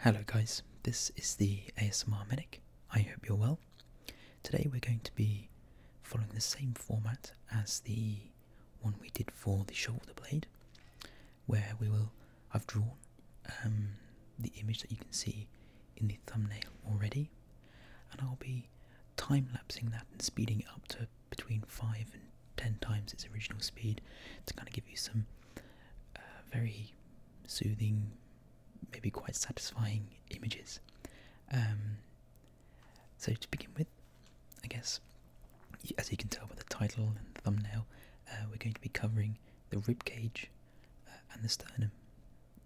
Hello, guys, this is the ASMR Medic. I hope you're well. Today, we're going to be following the same format as the one we did for the shoulder blade, where we will. I've drawn um, the image that you can see in the thumbnail already, and I'll be time lapsing that and speeding it up to between 5 and 10 times its original speed to kind of give you some uh, very soothing, maybe quite satisfying images. Um, so, to begin with, I guess, as you can tell by the title and thumbnail, uh, we're going to be covering the rib cage uh, and the sternum.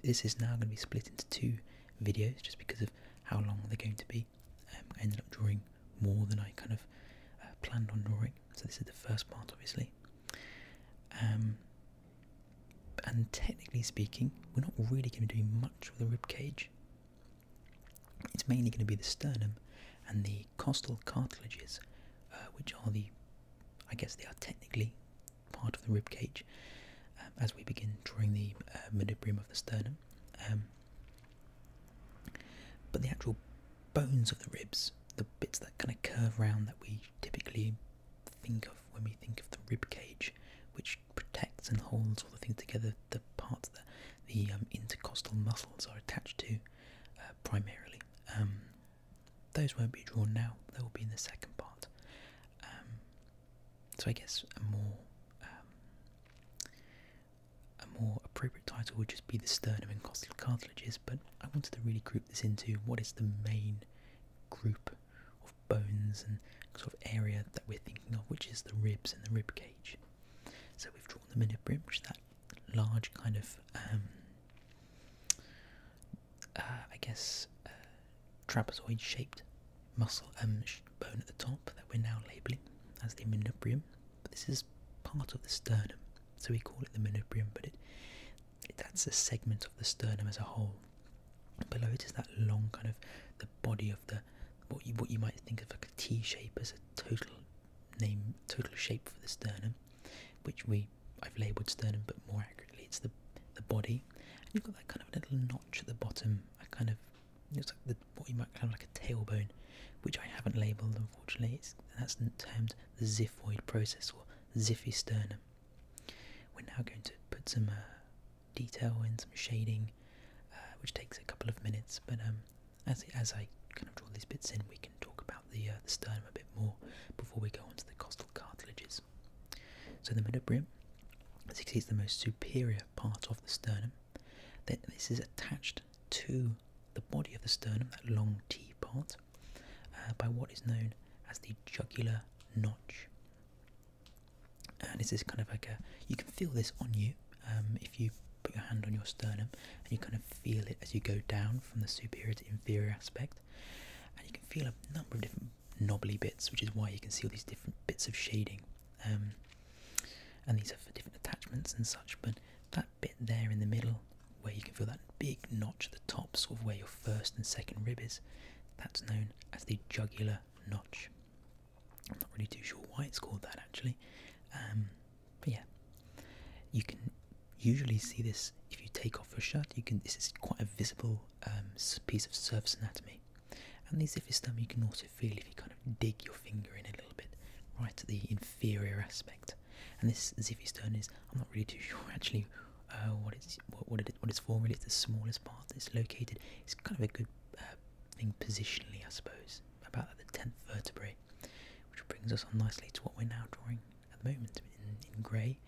This is now going to be split into two videos just because of how long they're going to be. Um, I ended up drawing more than I kind of uh, planned on drawing, so this is the first part, obviously. Um, and technically speaking, we're not really going to do much with the rib cage. It's mainly going to be the sternum and the costal cartilages, uh, which are the, I guess they are technically part of the rib cage. Uh, as we begin drawing the uh, manubrium of the sternum, um, but the actual bones of the ribs the bits that kind of curve round that we typically think of when we think of the rib cage, which protects and holds all the things together, the parts that the um, intercostal muscles are attached to uh, primarily. Um, those won't be drawn now, they will be in the second part. Um, so I guess a more a more appropriate title would just be the sternum and costal cartilages, but I wanted to really group this into what is the main group of bones and sort of area that we're thinking of, which is the ribs and the rib cage. So we've drawn the in which that large kind of, um, uh, I guess, uh, trapezoid-shaped muscle um, bone at the top that we're now labelling as the manubrium. But this is part of the sternum, so we call it the manubrium, but it, that's a segment of the sternum as a whole. Below it is that long kind of the body of the what you what you might think of like a T shape as a total name total shape for the sternum, which we I've labelled sternum, but more accurately it's the the body. And you've got that kind of little notch at the bottom, a kind of looks like the, what you might kind like a tailbone, which I haven't labelled unfortunately, that's termed the xiphoid process or ziffy We're now going to put some uh, detail in, some shading, uh, which takes a couple of minutes, but um, as, as I kind of draw these bits in, we can talk about uh, the, sternum a bit more before we go on to the costal cartilages. So the midibrim, as you see, is the most superior part of the sternum. This is attached to the body of the sternum, that long T part, uh, by what is known as the jugular notch. And this is kind of like a, you can feel this on you um, if you put your hand on your sternum and you kind of feel it as you go down from the superior to inferior aspect. And you can feel a number of different knobbly bits, which is why you can see all these different bits of shading. Um, and these are for different attachments and such, but bit there in the middle where you can feel that big notch at the top, sort of where your first and second rib is, that's known as the jugular notch. I'm not really too sure why it's called that actually, um, but yeah, you can usually see this if you take off your shirt. You can this is quite a visible um, piece of surface anatomy, and the xiphistum you can also feel if you kind of dig your finger in a little bit, right at the inferior aspect. And this Ziffy stone is, I'm not really too sure actually uh, what it's what, it's for it's the smallest part that's located. It's kind of a good uh, thing positionally, I suppose, about the 10th vertebra, which brings us on nicely to what we're now drawing at the moment in, grey.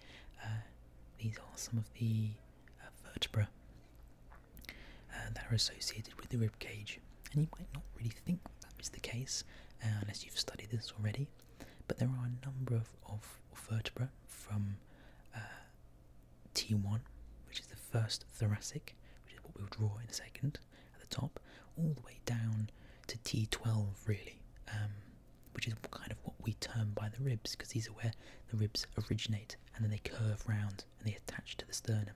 Uh, these are some of the uh, vertebrae uh, that are associated with the rib cage. And you might not really think that is the case uh, unless you've studied this already, but there are a number of, of vertebrae from uh, T1, which is the first thoracic, which is what we'll draw in a second at the top, all the way down to T12, really, um, which is kind of what we term by the ribs, because these are where the ribs originate and then they curve round and they attach to the sternum.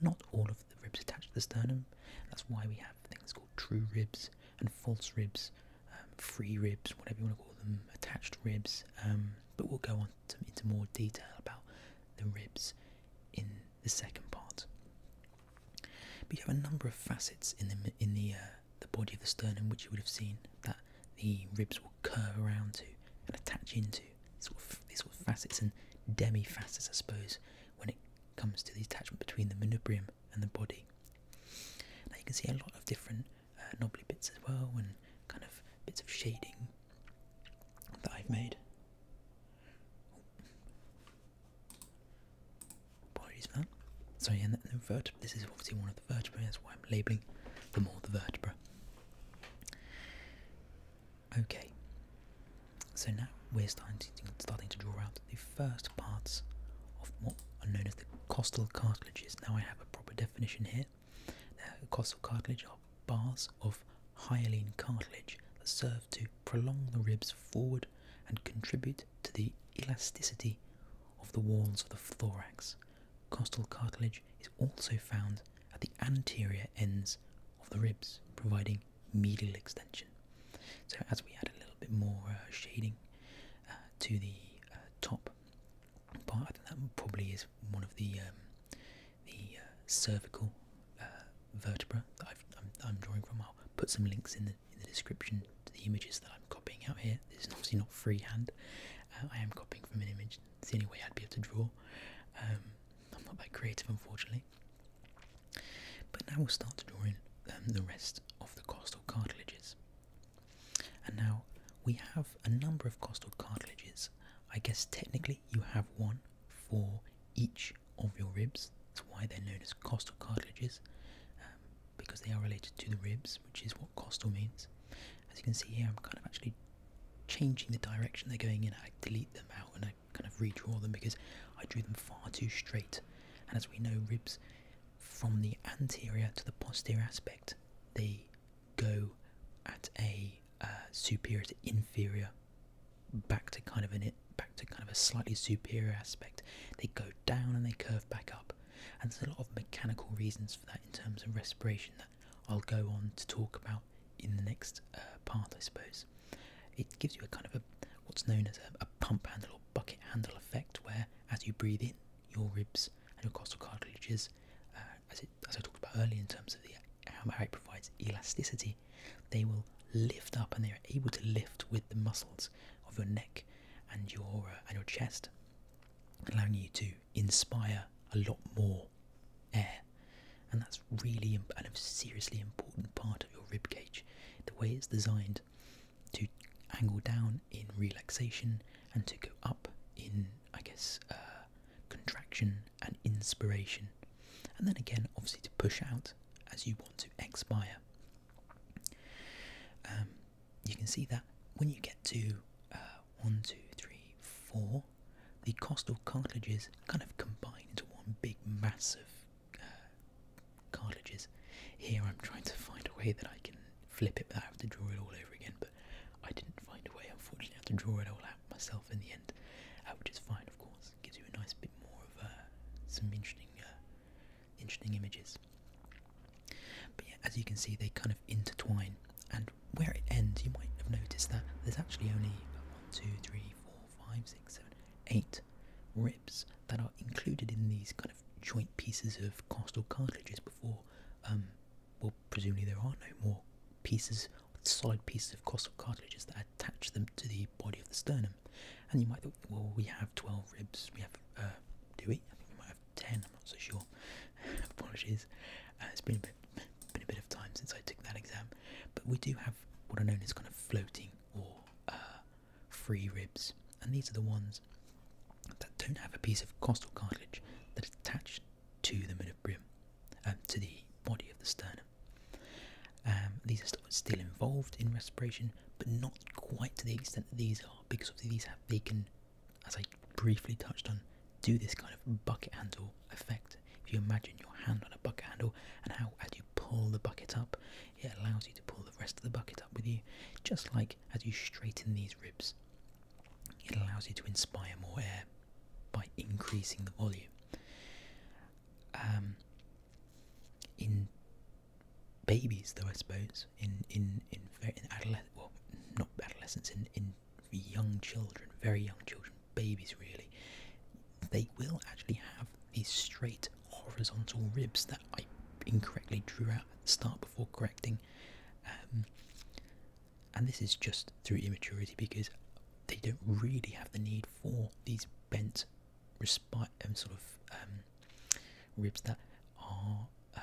Not all of the ribs attached to the sternum. That's why we have things called true ribs and false ribs, um, free ribs, whatever you want to call them, attached ribs. Um, but we'll go on to, into more detail about the ribs in the second part. But you have a number of facets in the in the uh, the body of the sternum, which you would have seen that the ribs will curve around to and attach into. Sort of, these sort of facets and demi facets, I suppose when it comes to the attachment between the manubrium and the body. Now you can see a lot of different uh, knobbly bits as well and kind of bits of shading that I've made. Apologies for and the, vertebra, this is obviously one of the vertebrae, that's why I'm labelling them all the vertebra. Okay, so now we're starting to, starting to draw out the first parts of what are known as the costal cartilages. Now I have a proper definition here. Now, costal cartilage are bars of hyaline cartilage that serve to prolong the ribs forward and contribute to the elasticity of the walls of the thorax. Costal cartilage is also found at the anterior ends of the ribs, providing medial extension. So as we add a little bit more uh, shading uh, to the uh, top part, I think that probably is one of the um, the cervical vertebra that i am drawing from. I'll put some links in the, in the description to the images that I'm copying out here. This is obviously not freehand. Uh, I am copying from an image. It's the only way I'd be able to draw. Um, I'm not that creative, unfortunately. But now we'll start drawing um, the rest of the costal cartilages. And now we have a number of costal cartilages. I guess technically you have one for each of your ribs. That's why they're known as costal cartilages, um, because they are related to the ribs, which is what costal means. As you can see here, I'm kind of actually changing the direction they're going in. I delete them out and kind of redraw them because I drew them far too straight. And as we know, ribs from the anterior to the posterior aspect, they go at a uh, superior to inferior, back to kind of an back to kind of a slightly superior aspect. They go down and they curve back up. And there's a lot of mechanical reasons for that in terms of respiration that I'll go on to talk about in the next uh, part, I suppose. It gives you a kind of a what's known as a, pump handle or bucket handle effect, where as you breathe in, your ribs and your costal cartilages, uh, as, I talked about earlier in terms of the how it provides elasticity, they will lift up and they are able to lift with the muscles of your neck and your uh, and your chest, allowing you to inspire a lot more air, and that's really and a seriously important part of your rib cage. The way it's designed to angle down in relaxation and to go up in, I guess, uh, contraction and inspiration, and then again, obviously, to push out as you want to expire. Um, you can see that when you get to uh, one, two, three, four the costal cartilages kind of combine into one big mass of uh, cartilages. Here I'm trying to find a way that I can flip it without having to draw it all over again, but I didn't find a way, unfortunately, I had to draw it all out myself in the end, uh, which is fine, of course. gives you a nice bit more of uh, some interesting, interesting images. But yeah, as you can see, they kind of intertwine, and where it ends, you might have noticed that there's actually only 1, 2, 3, 4, 5, 6, 7, 8 ribs that are included in these kind of joint pieces of costal cartilages before, um, well, presumably there are no more pieces, solid pieces of costal cartilages that attach them to the body of the sternum. And you might think, well, we have 12 ribs, we have, uh, do we? I think we might have 10, I'm not so sure. Apologies, uh, it's been a bit been a bit of time since I took that exam, but we do have what are known as kind of floating or uh, free ribs, and these are the ones that don't have a piece of costal cartilage that attached to the midrib, um, to the body of the sternum. Um, these are still involved in respiration, but not quite to the extent that these are, because these have they can, as I briefly touched on, do this kind of bucket handle effect. If you imagine your hand on a bucket handle and how as you pull the bucket up, it allows you to pull the rest of the bucket up with you, just like as you straighten these ribs. It allows you to inspire more air by increasing the volume. Um, in babies, though, I suppose, in in in, in adolescent, well, not adolescents, in in young children, very young children, babies really, they will actually have these straight horizontal ribs that I incorrectly drew out at the start before correcting. Um, and this is just through immaturity because they don't really have the need for these bent respi- um, sort of um, ribs that are uh,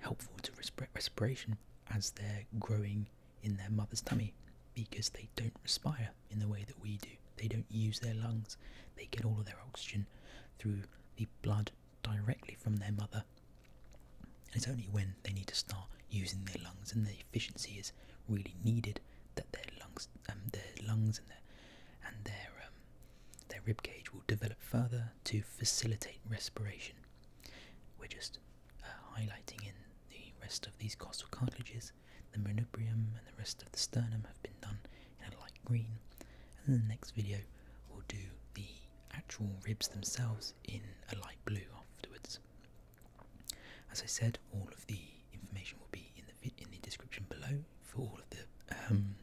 helpful to respiration as they're growing in their mother's tummy because they don't respire in the way that we do. They don't use their lungs. They get all of their oxygen through the blood directly from their mother. And it's only when they need to start using their lungs and the efficiency is really needed that their lungs, um, their lungs and their and their um, their rib cage will develop further to facilitate respiration. We're just uh, highlighting in the rest of these costal cartilages, the manubrium and the rest of the sternum have been done in a light green. And the next video, we'll do the actual ribs themselves in a light blue afterwards. As I said, all of the information will be in the in the description below for all of the um,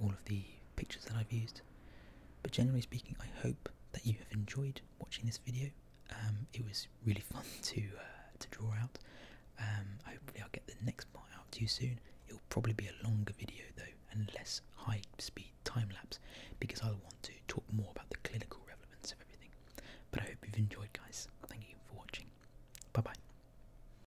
all of the pictures that I've used. But generally speaking, I hope that you have enjoyed watching this video. Um, it was really fun to uh, to draw out. Um, hopefully, I'll get the next part out to soon. It will probably be a longer video though, and less high speed time lapse, because I'll want to talk more about the clinical relevance of everything. But I hope you've enjoyed, guys. Thank you for watching. Bye bye.